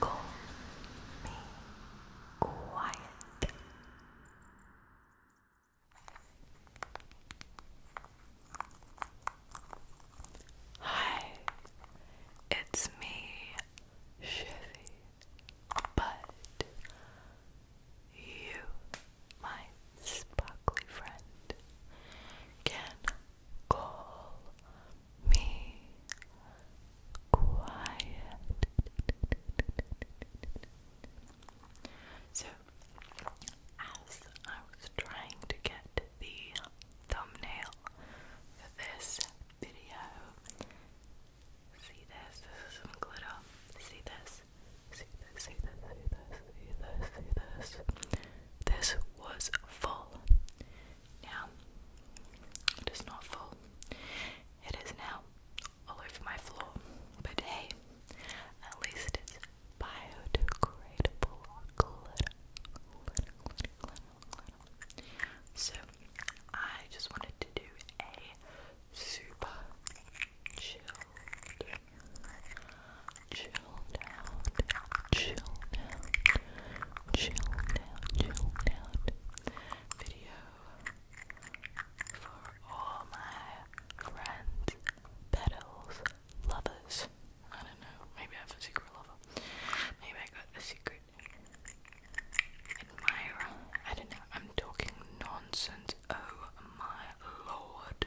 Call me quiet. Hi, it's me, Chevy, but you, my sparkly friend, can call me quiet. So, as I was trying to get the thumbnail for this video, see this, this is some glitter, see this, see this, see this, see this, see this, see this. This was full. Now, it is not full. It is now all over my floor. But hey, at least it's biodegradable glitter. So, I just wanted to do a super chilled Chill out, chill out, chill out, chill out video for all my friends, petals, lovers. I don't know, maybe I have a secret lover. Maybe I got a secret admirer. I don't know, I'm talking nonsense. Oh my lord.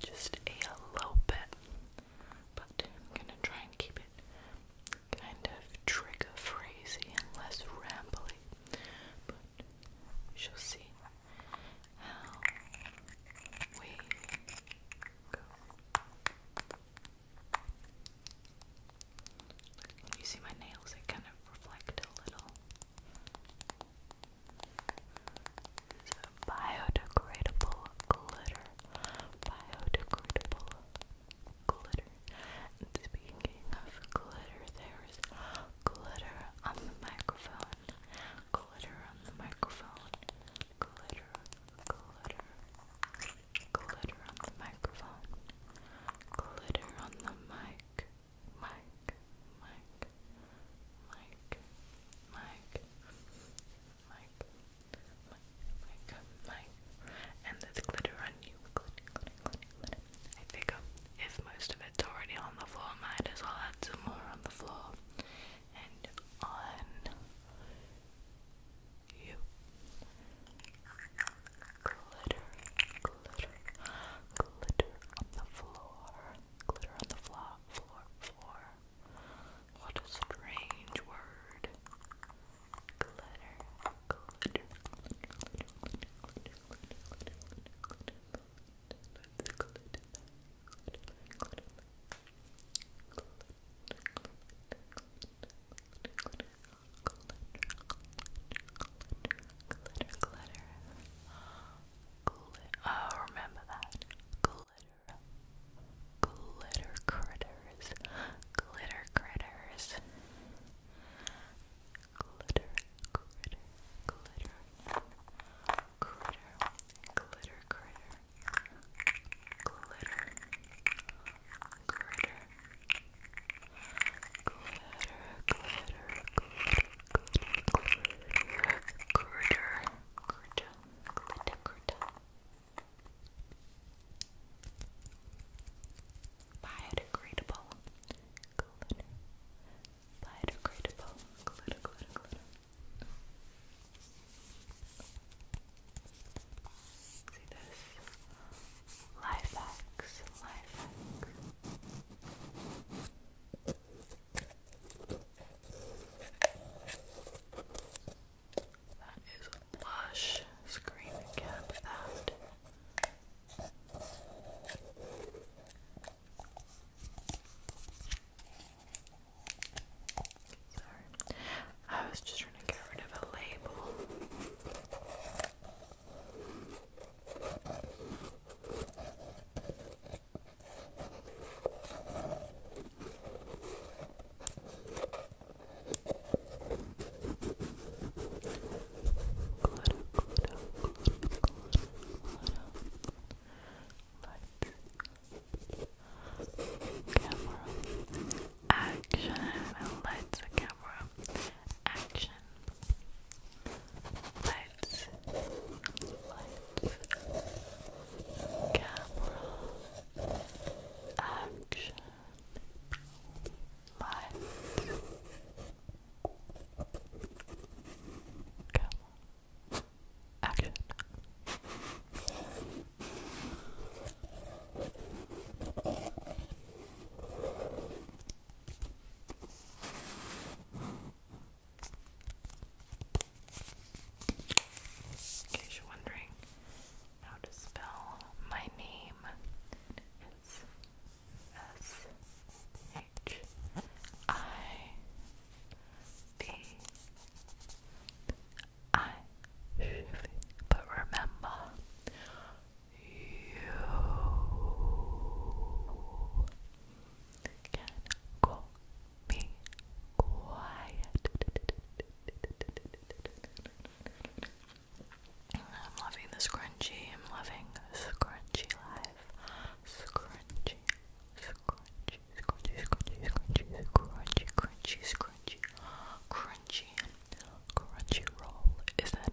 just a little bit. But I'm gonna try and keep it kind of trigger phrasy and less rambly. But we shall see how we go. you see my nails, I kind of reflect a little. So biodegradable glitter. Biodegradable glitter. And speaking of glitter, there's glitter on the microphone. Glitter on the microphone. Glitter, glitter, glitter on the microphone. Glitter on the mic. Mike, Mike, Mike, Mike, Mike, Mike, Mike, and there's glitter on you. Glitter, glitter, glitter, I figure if most of it's already on the floor, might as well add some more on the floor and on you. Glitter, glitter, glitter, glitter on the floor, glitter on the floor, floor, floor. What a strange word. glitter, glitter, glitter, glitter, glitter, glitter, glitter, glitter, glitter, glitter, glitter, glitter, glitter, glitter, glitter, glitter, glitter, glitter, glitter. Glitter. Oh, remember that. Glitter. Glitter critters. Glitter critters. Glitter critter. Glitter. Critter. Glitter critter. Glitter. Critter glitter, glitter. Biodegradable glitter. Biodegradable glitter, glitter, glitter. See this? Life hacks, life hacks. That is a blush. Screen cap that. Sorry. I was just trying to get rid of a label. Camera action. Lights, camera action section. let camera, action, let camera, action. In case you're wondering how to spell my name, it's S H I B I. But remember, you can call me quiet. I'm loving the scrunchie. I'm loving scrunchy life. Scrunchy, scrunchy, scrunchy, scrunchy, scrunchy, scrunchy, crunchy, scrunchy, crunchy, crunchy roll. Is that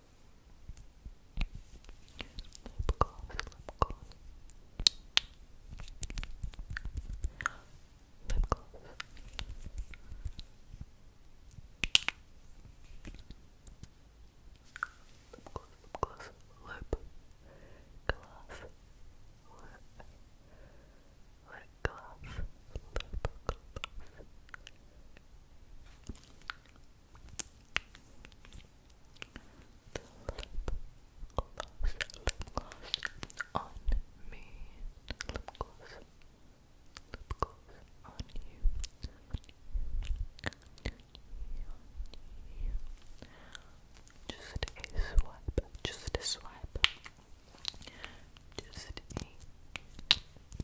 Lip gloss, lip gloss. Lip gloss. Lip gloss, lip gloss, lip gloss, lip, lip gloss, lip gloss the lip gloss, lip gloss on me, lip gloss, lip gloss on you, on you, on you. Just a swipe, just a swipe, just a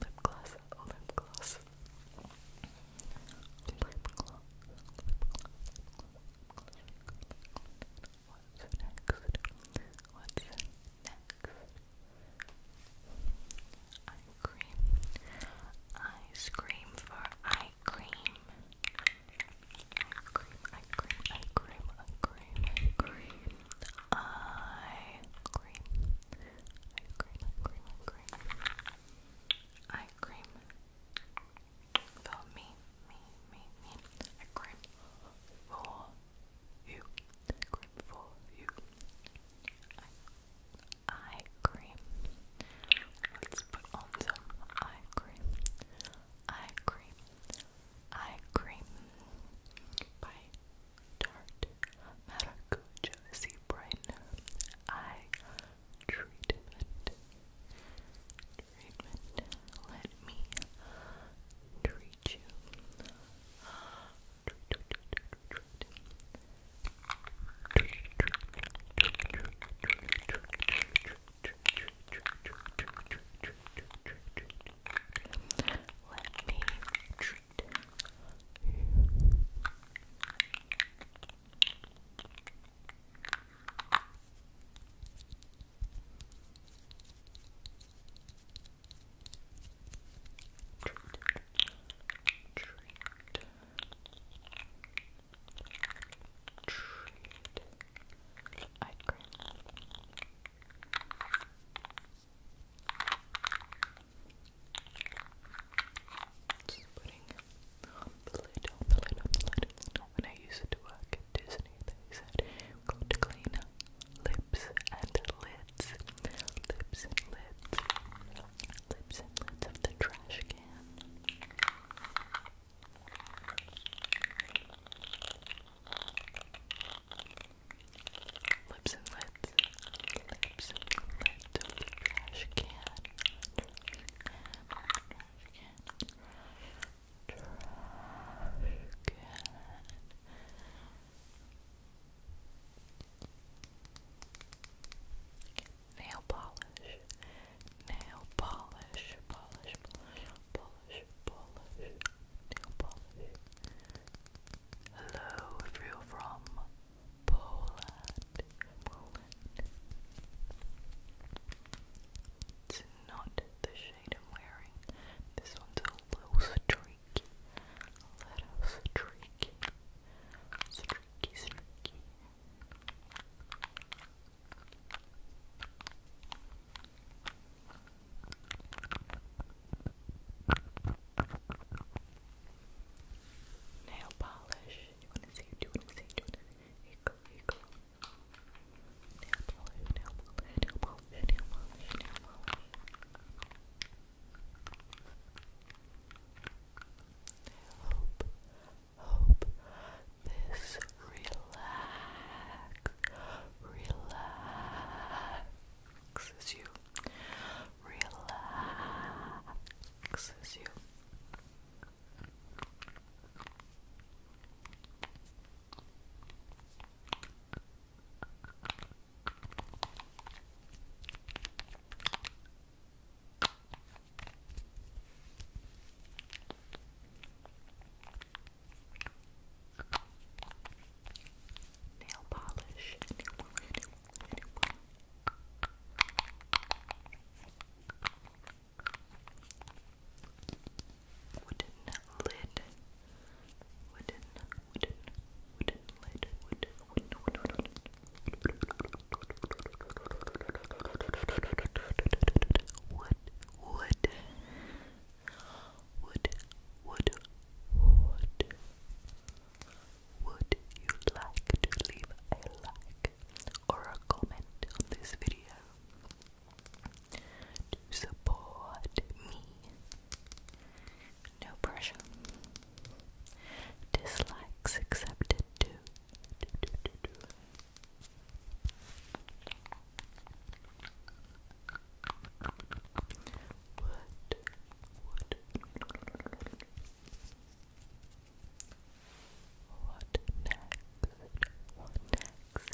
Lip gloss, lip gloss. Lip gloss, What's next? What's next? Eye cream. Ice cream for eye cream. Eye cream, eye cream, eye cream, eye cream, eye cream eye cream. Eye cream, eye cream, eye cream. For me, me, me, me. Eye cream for you. Eye cream for you. eye cream. Let's put on some eye cream. Eye cream eye cream by Tarte Maracuja Sea Eye Treatment. Treatment. Let me treat you. Let me treat you. Treat, treat, treat. I grin. Just putting on the lid, on When I used to work at Disney, they said you to clean lips and lids. Lips and lids. Lips and lids of the trash can. Lips and lips, Lips and lips, Trash can. Trash can. Nail polish, nail polish, polish, polish, polish, polish, Hello, if you're from Poland, Poland. It's not the shade I'm wearing. This one's a little streaky, little streaky, streaky, streaky. Nail polish. You wanna Do you want Do you wanna see? Nail polish, nail polish, nail polish, nail polish, nail polish. hope, hope this relaxes Relax, you, relaxes you. Nail polish. Nail polish. Nail polish. Wooden lid. Wooden, wooden, wooden lid. Wooden, wooden, wooden, wooden. Would, would, would, would you like to leave a like or a comment on this video to support me? No pressure. Dislikes accepted too. Wood, wood. What next? What next?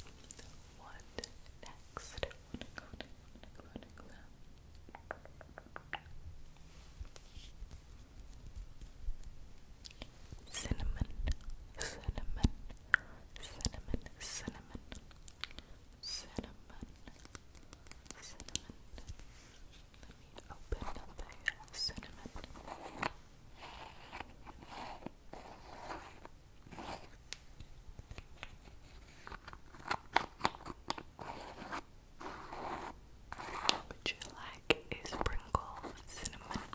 What next? What next? What next? What next? What next? Cinnamon, cinnamon, cinnamon, cinnamon, cinnamon, cinnamon. Let me open up cinnamon. Would you like a sprinkle cinnamon?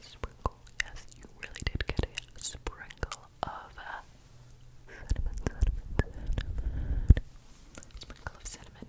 sprinkle, yes, you really did get a sprinkle of uh, cinnamon, sprinkle of cinnamon.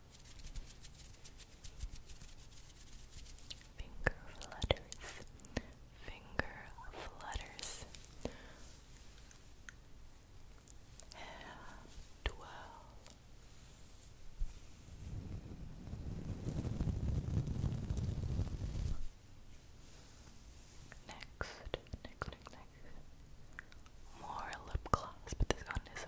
Finger flutters, finger flutters. Hair twirl. Next, next, next, next. More lip gloss, but this one is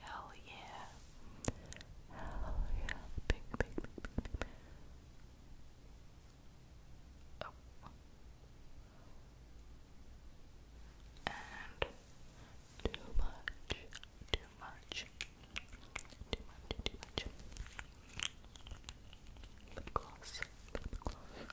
Hell yeah. Hell yeah. Big, big, big, big, big. Oh. And too much, too much, too much, too much. Lip gloss, lip gloss.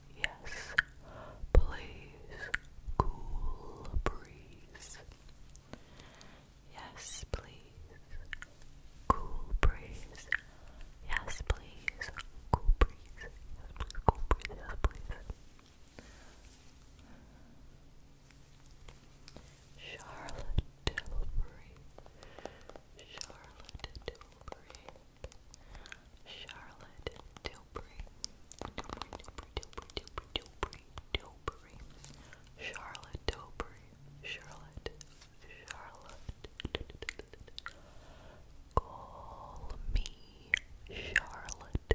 Yes, please. Cool breeze. Yes, please. Cool breeze. Yes, please. Cool breeze. Yes, please. Cool breeze. Yes, please. Charlotte Tilbury. Charlotte Tilbury. Charlotte Tilbury, Tilbury, Tilbury, Tilbury, Tilbury, Tilbury, Charlotte Tilbury, Charlotte, Charlotte. Call me Charlotte.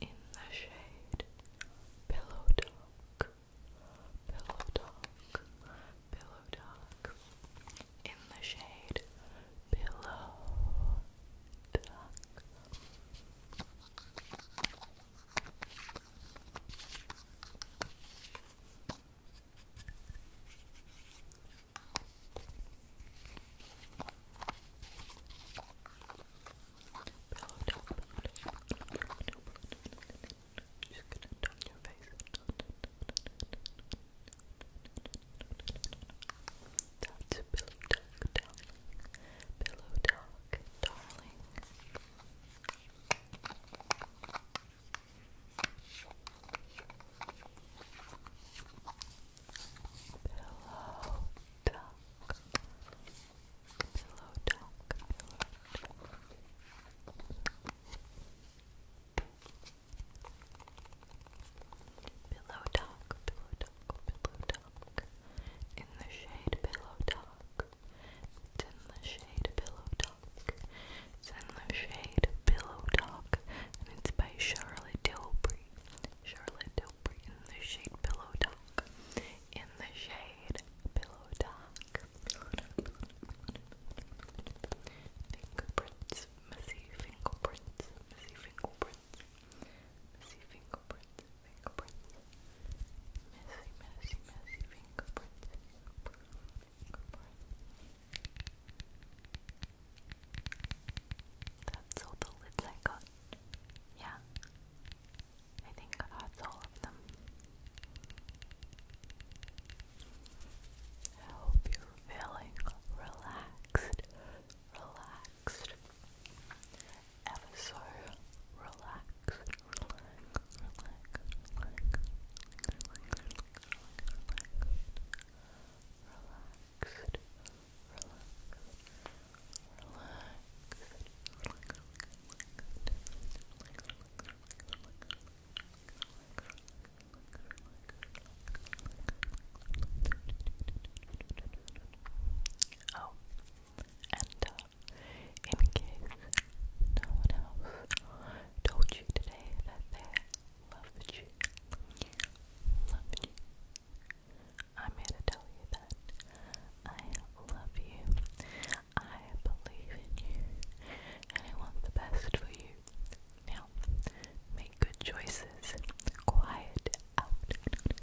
in the shade Pillow Talk, Pillow Talk, Pillow Talk, in the shade Pillow Talk. Just gonna turn your face. That's pillow talk, Pillow talk, darling. Pillow talk. Pillow talk. Pillow talk. Pillow talk. Pillow talk. In the shade, pillow talk. It's in the shade, pillow talk. It's in the shade, pillow talk, and it's by Charlotte Tilbury. Charlotte Doper in the shade pillow talk. In the shade pillow talk. Fingerprints, messy fingerprints, messy fingerprints, messy fingerprints, fingerprints, messy, messy, messy fingerprints, That's all the lids I got. Yeah, I think that's all of them. I hope you're feeling relaxed, relaxed, ever so relaxed, relax, relax, relaxed, relax. Oh, and uh, in case no one else told you today that they loved you, loved you, I'm here to tell you that I love you, I believe in you, and I want the best for you. Now, make good choices. Quiet out.